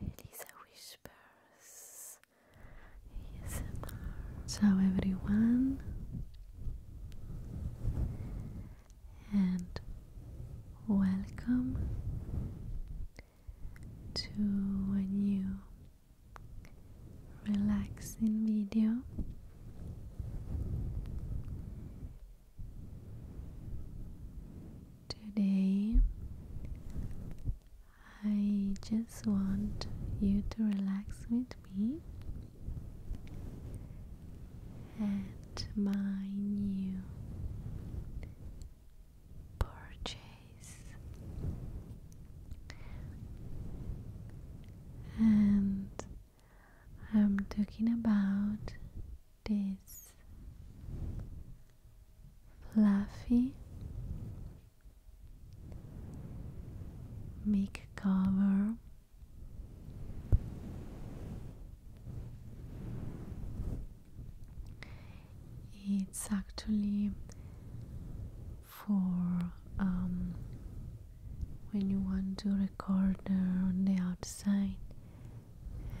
Elisa Whispers ASMR. Ciao everyone, and welcome to a new relaxing video. Today, I just want you to relax with me and my new purchase. And I'm talking about this fluffy mic cover it's actually for um, when you want to record on the outside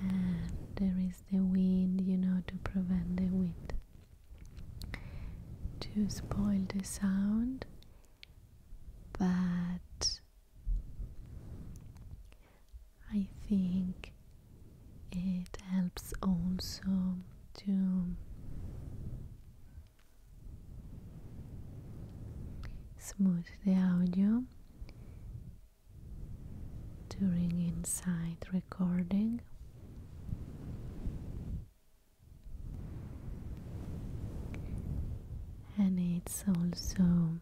and there is the wind, you know, to prevent the wind to spoil the sound, but I think it helps also to smooth the audio during inside recording. And it's also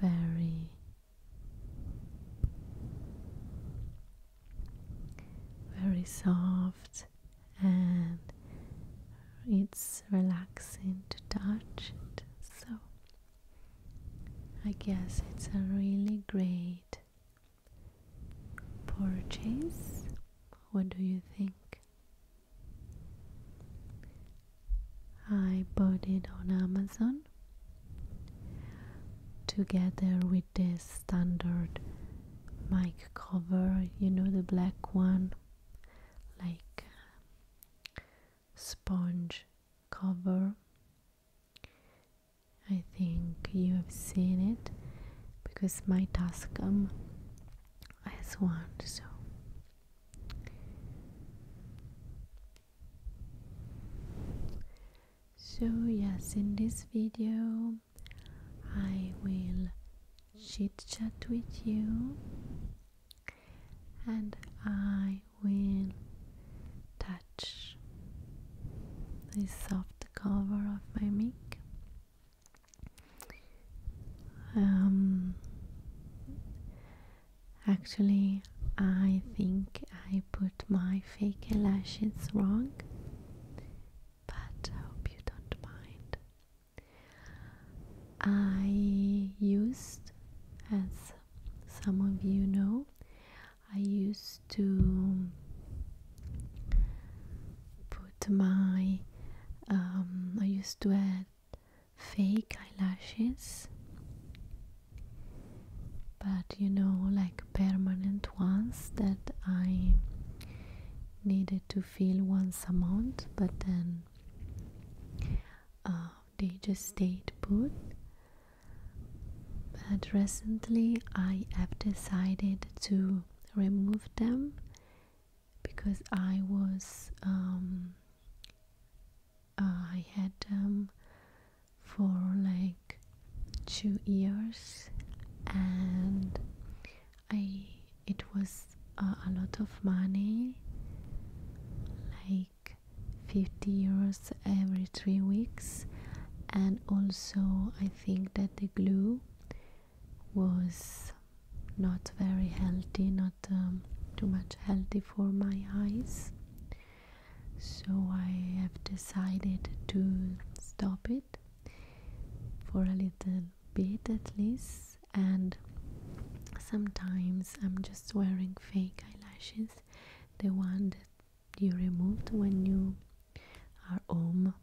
very very soft and it's relaxing to touch so I guess it's a really great purchase. What do you think? I bought it on Amazon together with this standard mic cover, you know, the black one, like sponge cover. I think you have seen it because my Tascam has one so so yes in this video I will chit chat with you and I will touch the soft cover of my mic. Um, actually, I think I put my fake eyelashes wrong, but I hope you don't mind. I used as some of you know, I used to put my, um, I used to add fake eyelashes, but you know, like permanent ones that I needed to fill once a month, but then. Uh, they just stayed put. But recently I have decided to remove them because I was um, I had them for like two years and I it was uh, a lot of money like 50 euros every three weeks and also i think that the glue was not very healthy not um, too much healthy for my eyes so i have decided to stop it for a little bit at least and sometimes i'm just wearing fake eyelashes the one that you removed when you are home.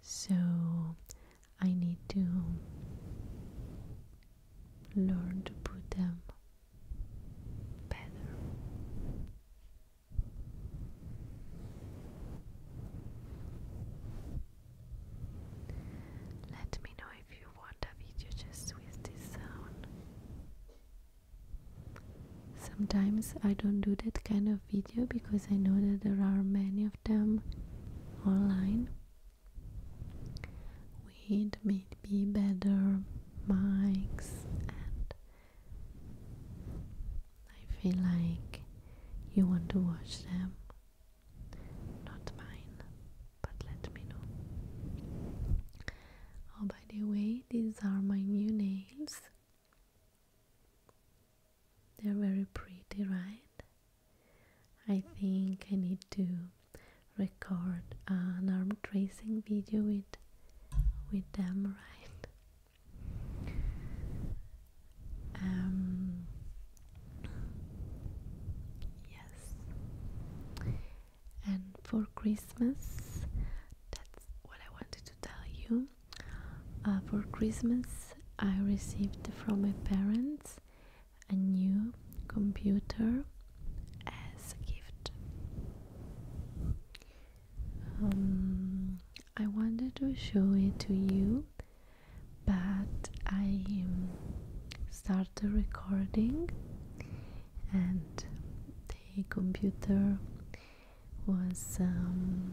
So I need to learn to put them better. Let me know if you want a video just with this sound. Sometimes I don't do that kind of video because I know that there are many of them online with maybe better mics and I feel like you want to watch them not mine, but let me know. Oh, by the way, these are my new nails. They're very pretty, right? I think I need to record an arm tracing video with with them, right? Um, yes. And for Christmas, that's what I wanted to tell you. Uh, for Christmas, I received from my parents a new computer as a gift. Um, I wanted to show it to you, but I um, started recording and the computer was. Um,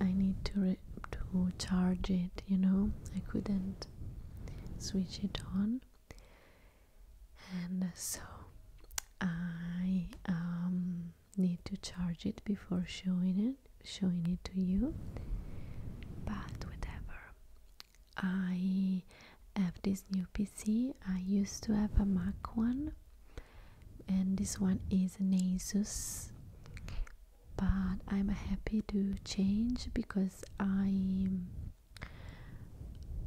I need to, to charge it, you know, I couldn't switch it on, and so I um need to charge it before showing it showing it to you but whatever I have this new PC I used to have a Mac one and this one is an Asus but I'm happy to change because I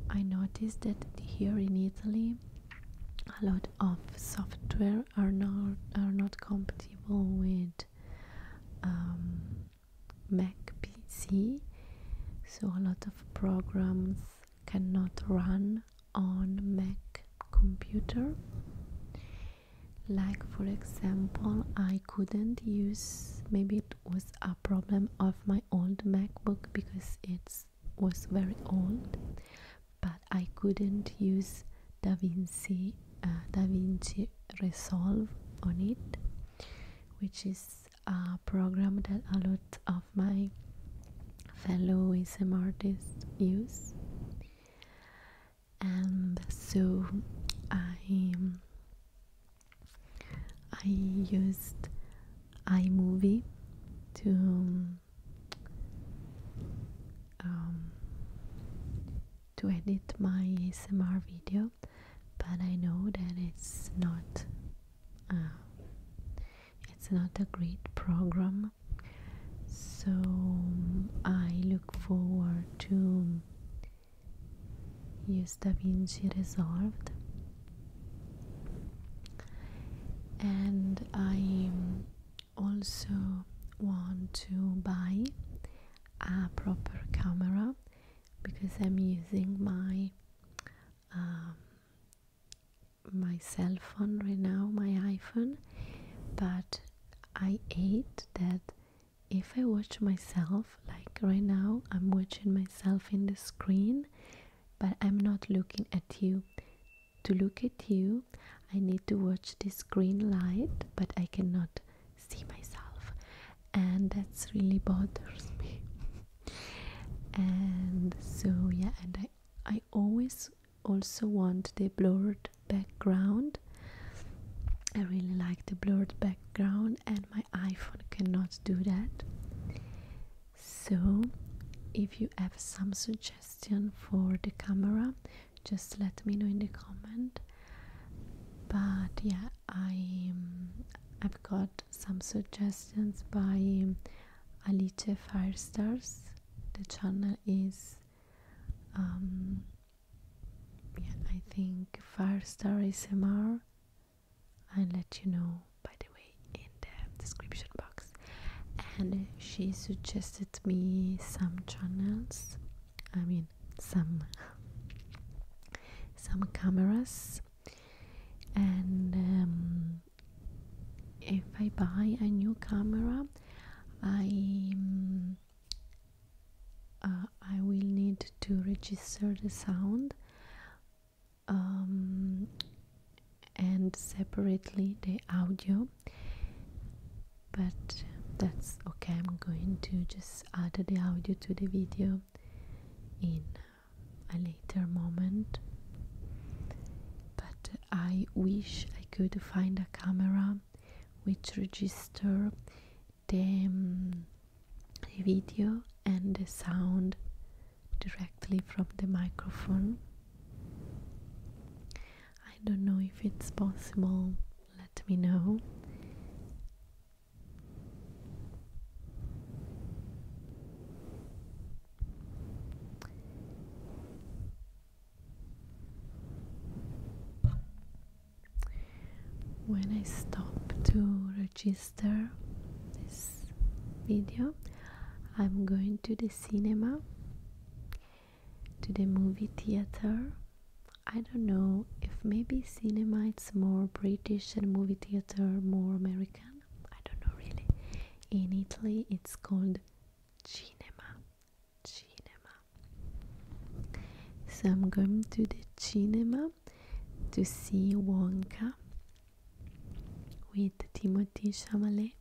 I noticed that here in Italy a lot of software are not are not compatible with um, Mac PC, so a lot of programs cannot run on Mac computer. Like for example, I couldn't use. Maybe it was a problem of my old MacBook because it was very old but I couldn't use DaVinci uh, DaVinci Resolve on it, which is a program that a lot of my fellow ASM artists use, and so I um, I used iMovie to um, um, to edit my ASMR video, but I know that it's not uh, it's not a great program. So I look forward to use DaVinci Resolved and I am also want to buy a proper camera because I'm using my um, my cell phone right now, my iPhone, but I hate that if I watch myself, like right now, I'm watching myself in the screen, but I'm not looking at you to look at you, I need to watch this green light, but I cannot see myself, and that's really bothers me. and so, yeah, and I, I always also want the blurred background. I really like the blurred background, and my iPhone cannot do that. So, if you have some suggestion for the camera, just let me know in the comment but yeah i um, i've got some suggestions by um, alice firestars the channel is um yeah i think firestar smr i'll let you know by the way in the description box and she suggested me some channels i mean some some cameras and um, if i buy a new camera i um, uh, i will need to register the sound um, and separately the audio but uh, that's okay i'm going to just add the audio to the video in uh, a later moment but i wish i could find a camera which register the um, video and the sound directly from the microphone I don't know if it's possible, let me know. When I stop to register this video, I'm going to the cinema to the movie theater. I don't know if maybe cinema is more British and movie theater more American. I don't know really. In Italy it's called cinema. Cinema. So I'm going to the cinema to see Wonka with Timothy Chalamet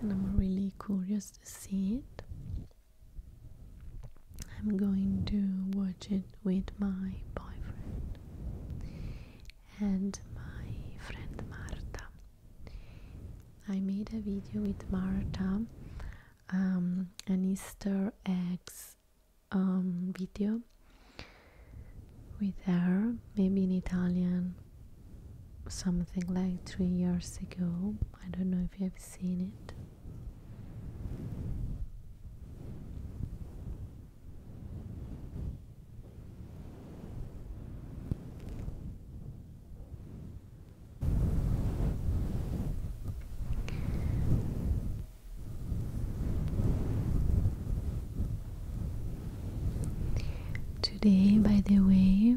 and I'm really curious to see it. I'm going to watch it with my boyfriend and my friend Marta. I made a video with Marta, um, an Easter eggs um, video with her, maybe in Italian, something like three years ago. I don't know if you've seen it. Today, by the way,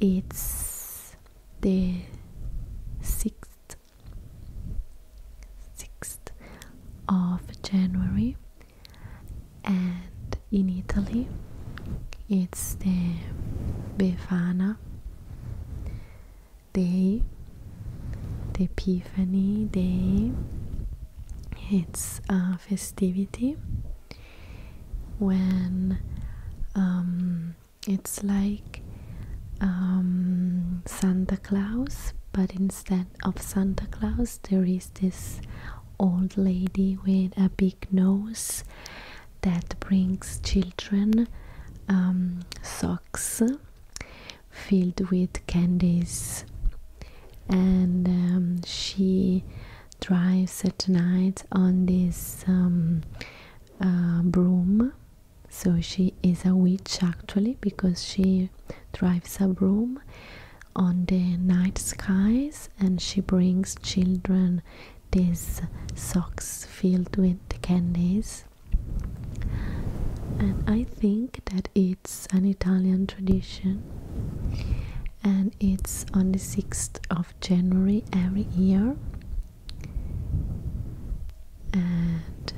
it's the sixth, sixth of January, and in Italy, it's the Befana Day, the Epiphany Day, it's a uh, festivity when um, it's like um, Santa Claus, but instead of Santa Claus, there is this old lady with a big nose that brings children um, socks filled with candies and um, she drives at night on this um, uh, broom so she is a witch actually because she drives a broom on the night skies and she brings children these socks filled with candies and i think that it's it's an Italian tradition and it's on the 6th of January every year and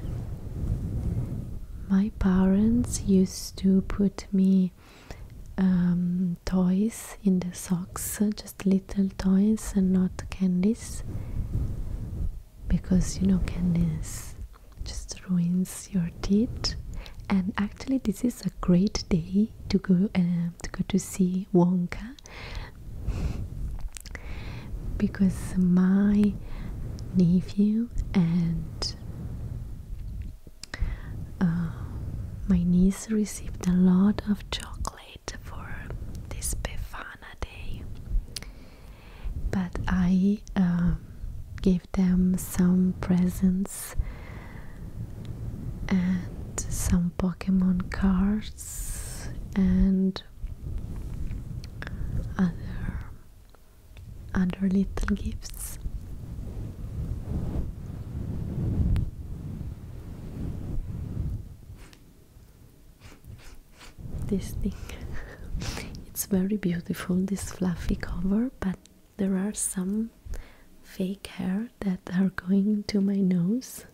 my parents used to put me um, toys in the socks, just little toys and not candies because you know candies just ruins your teeth and actually this is a great day to go um, to go to see Wonka because my nephew and uh, my niece received a lot of chocolate for this Befana day but I um, gave them some presents and some Pokemon cards and other other little gifts. This thing, it's very beautiful. This fluffy cover, but there are some fake hair that are going to my nose.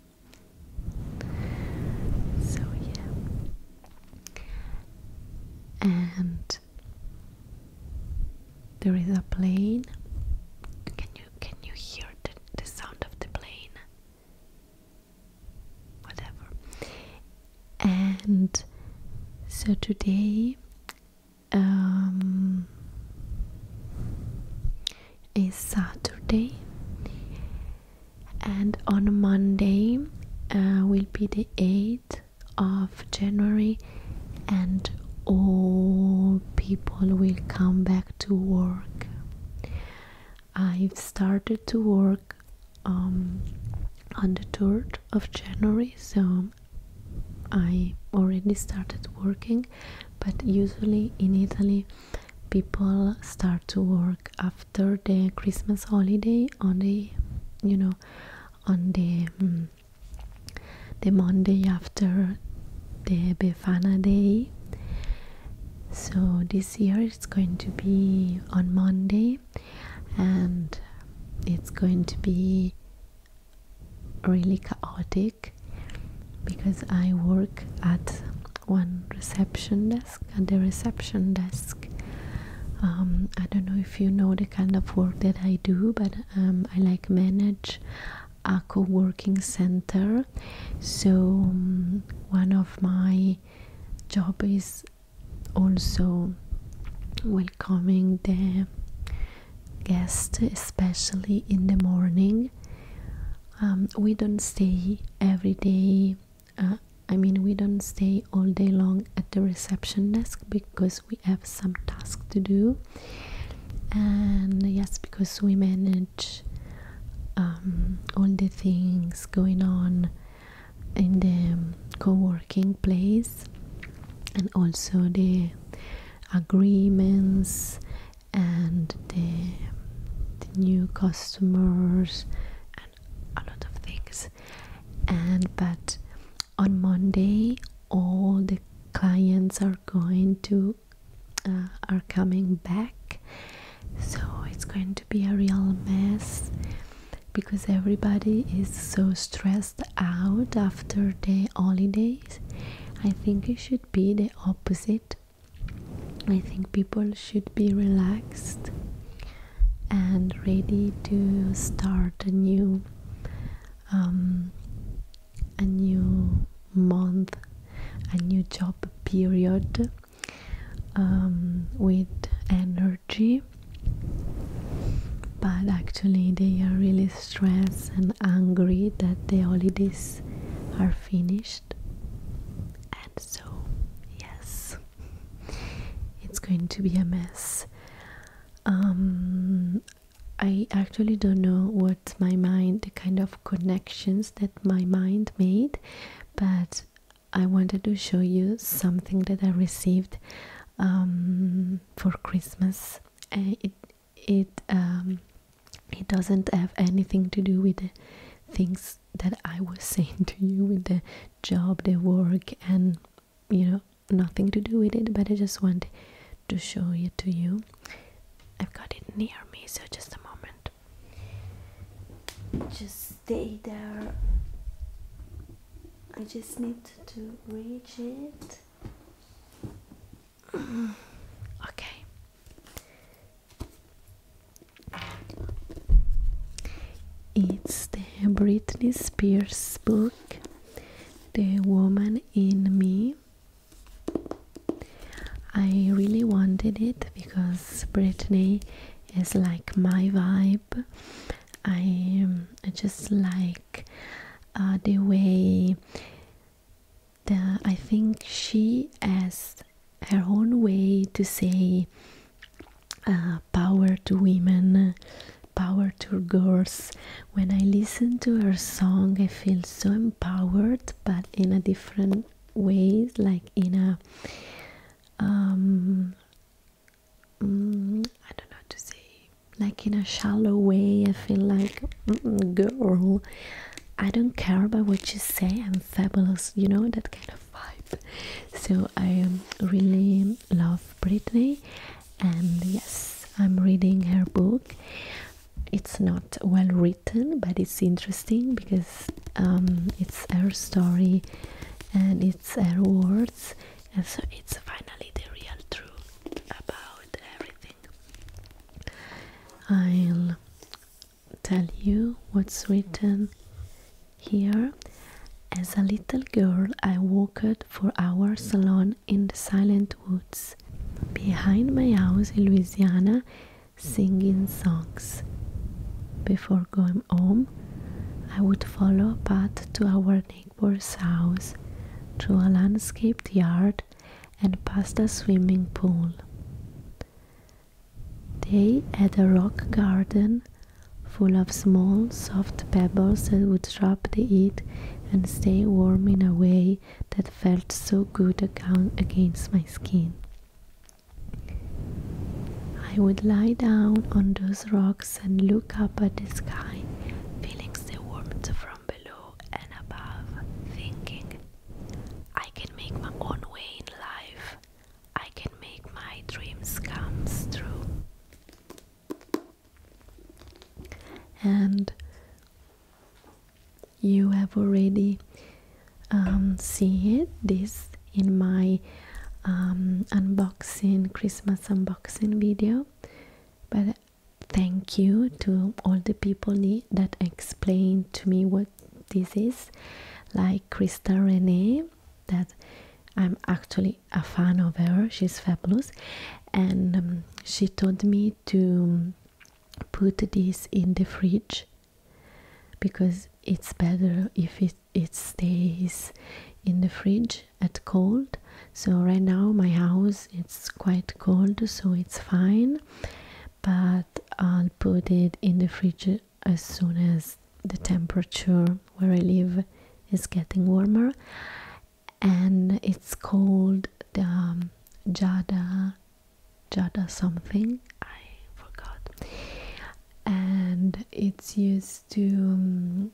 So, yeah. And there is a plane. Can you can you hear the, the sound of the plane? Whatever and so today um, is Saturday, and on Monday uh, will be the 8th of January, and all people will come back to work. I've started to work um, on the 3rd of January, so I already started working, but usually in Italy people start to work after the Christmas holiday on the you know on the mm, the Monday after the Befana day. So this year it's going to be on Monday and it's going to be really chaotic because I work at one reception desk. At the reception desk, um, I don't know if you know the kind of work that I do, but um, I like manage a co-working center. So um, one of my job is also welcoming the guest especially in the morning um, we don't stay every day uh, i mean we don't stay all day long at the reception desk because we have some tasks to do and yes because we manage um, all the things going on in the co-working place and also the agreements and the, new customers and a lot of things and but on Monday all the clients are going to uh, are coming back so it's going to be a real mess because everybody is so stressed out after the holidays. I think it should be the opposite. I think people should be relaxed and ready to start a new um, a new month, a new job period um, with energy but actually they are really stressed and angry that the holidays are finished and so yes it's going to be a mess um i actually don't know what my mind the kind of connections that my mind made but i wanted to show you something that i received um, for Christmas. Uh, it it um, it doesn't have anything to do with the things that I was saying to you with the job, the work, and you know nothing to do with it. But I just want to show it to you. I've got it near me, so just a moment. Just stay there. I just need to reach it. okay. It's the Britney Spears book, The Woman in Me. I really wanted it because Britney is like my vibe I, um, I just like uh, the way the I think she has her own way to say uh, power to women, power to girls. When I listen to her song, I feel so empowered, but in a different ways, like in a um, Mm, I don't know to say, like in a shallow way. I feel like, mm, girl, I don't care about what you say. I'm fabulous, you know that kind of vibe. So I really love Britney, and yes, I'm reading her book. It's not well written, but it's interesting because um, it's her story and it's her words and so it's finally the real truth about everything. I'll tell you what's written here. As a little girl, I walked for hours alone in the silent woods behind my house in Louisiana singing songs. Before going home, I would follow a path to our neighbor's house through a landscaped yard and past a swimming pool. They had a rock garden full of small, soft pebbles that would drop the heat and stay warm in a way that felt so good against my skin. I would lie down on those rocks and look up at the sky, feeling the warmth from below and above, thinking, I can make my own way in life, I can make my dreams come true. And you have already um, seen this in my um, unboxing Christmas unboxing video but thank you to all the people that explained to me what this is like Krista Renee that I'm actually a fan of her she's fabulous and um, she told me to put this in the fridge because it's better if it it stays in the fridge at cold so right now my house it's quite cold so it's fine but i'll put it in the fridge as soon as the temperature where i live is getting warmer and it's called the um, jada jada something i forgot and it's used to um,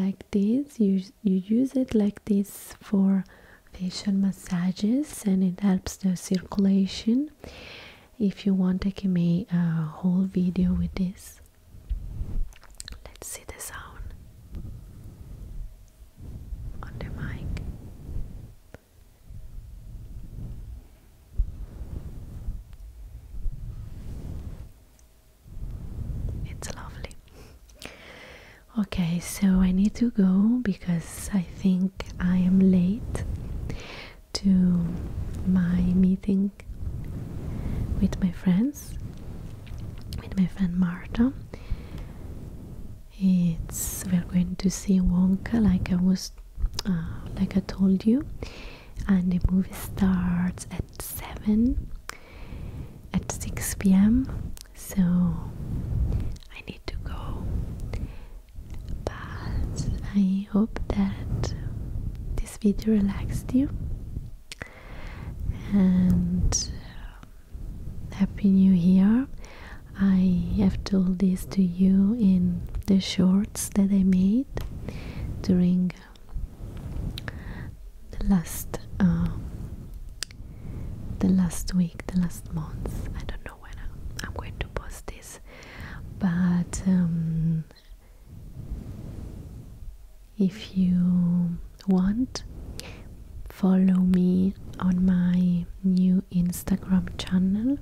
like this you you use it like this for facial massages and it helps the circulation if you want i can make a whole video with this let's see the sound on the mic it's lovely. Okay, so I need to go because I think I am late to my meeting with my friends, with my friend Marta. It's we're going to see Wonka, like I was, uh, like I told you, and the movie starts at 7 at 6 p.m. So I need to go, but I hope that this video relaxed you. And um, Happy New Year! I have told this to you in the short that I made during uh, the last uh, the last week, the last month. I don't know when I'm going to post this, but um, if you want, follow me on my new Instagram channel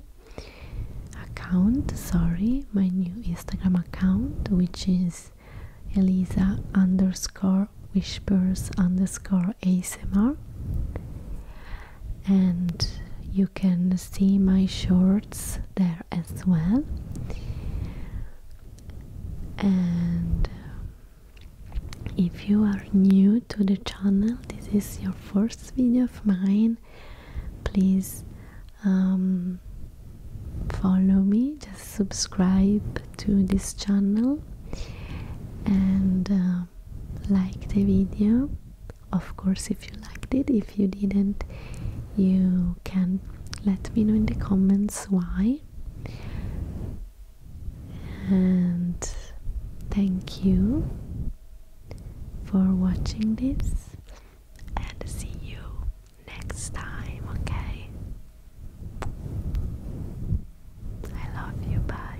account, sorry, my new Instagram account, which is Elisa underscore whispers underscore ASMR. And you can see my shorts there as well. And um, if you are new to the channel, this is your first video of mine, please um, follow me, just subscribe to this channel and uh, like the video. Of course, if you liked it, if you didn't, you can let me know in the comments why. And thank you for watching this and see you next time, okay? I love you, bye.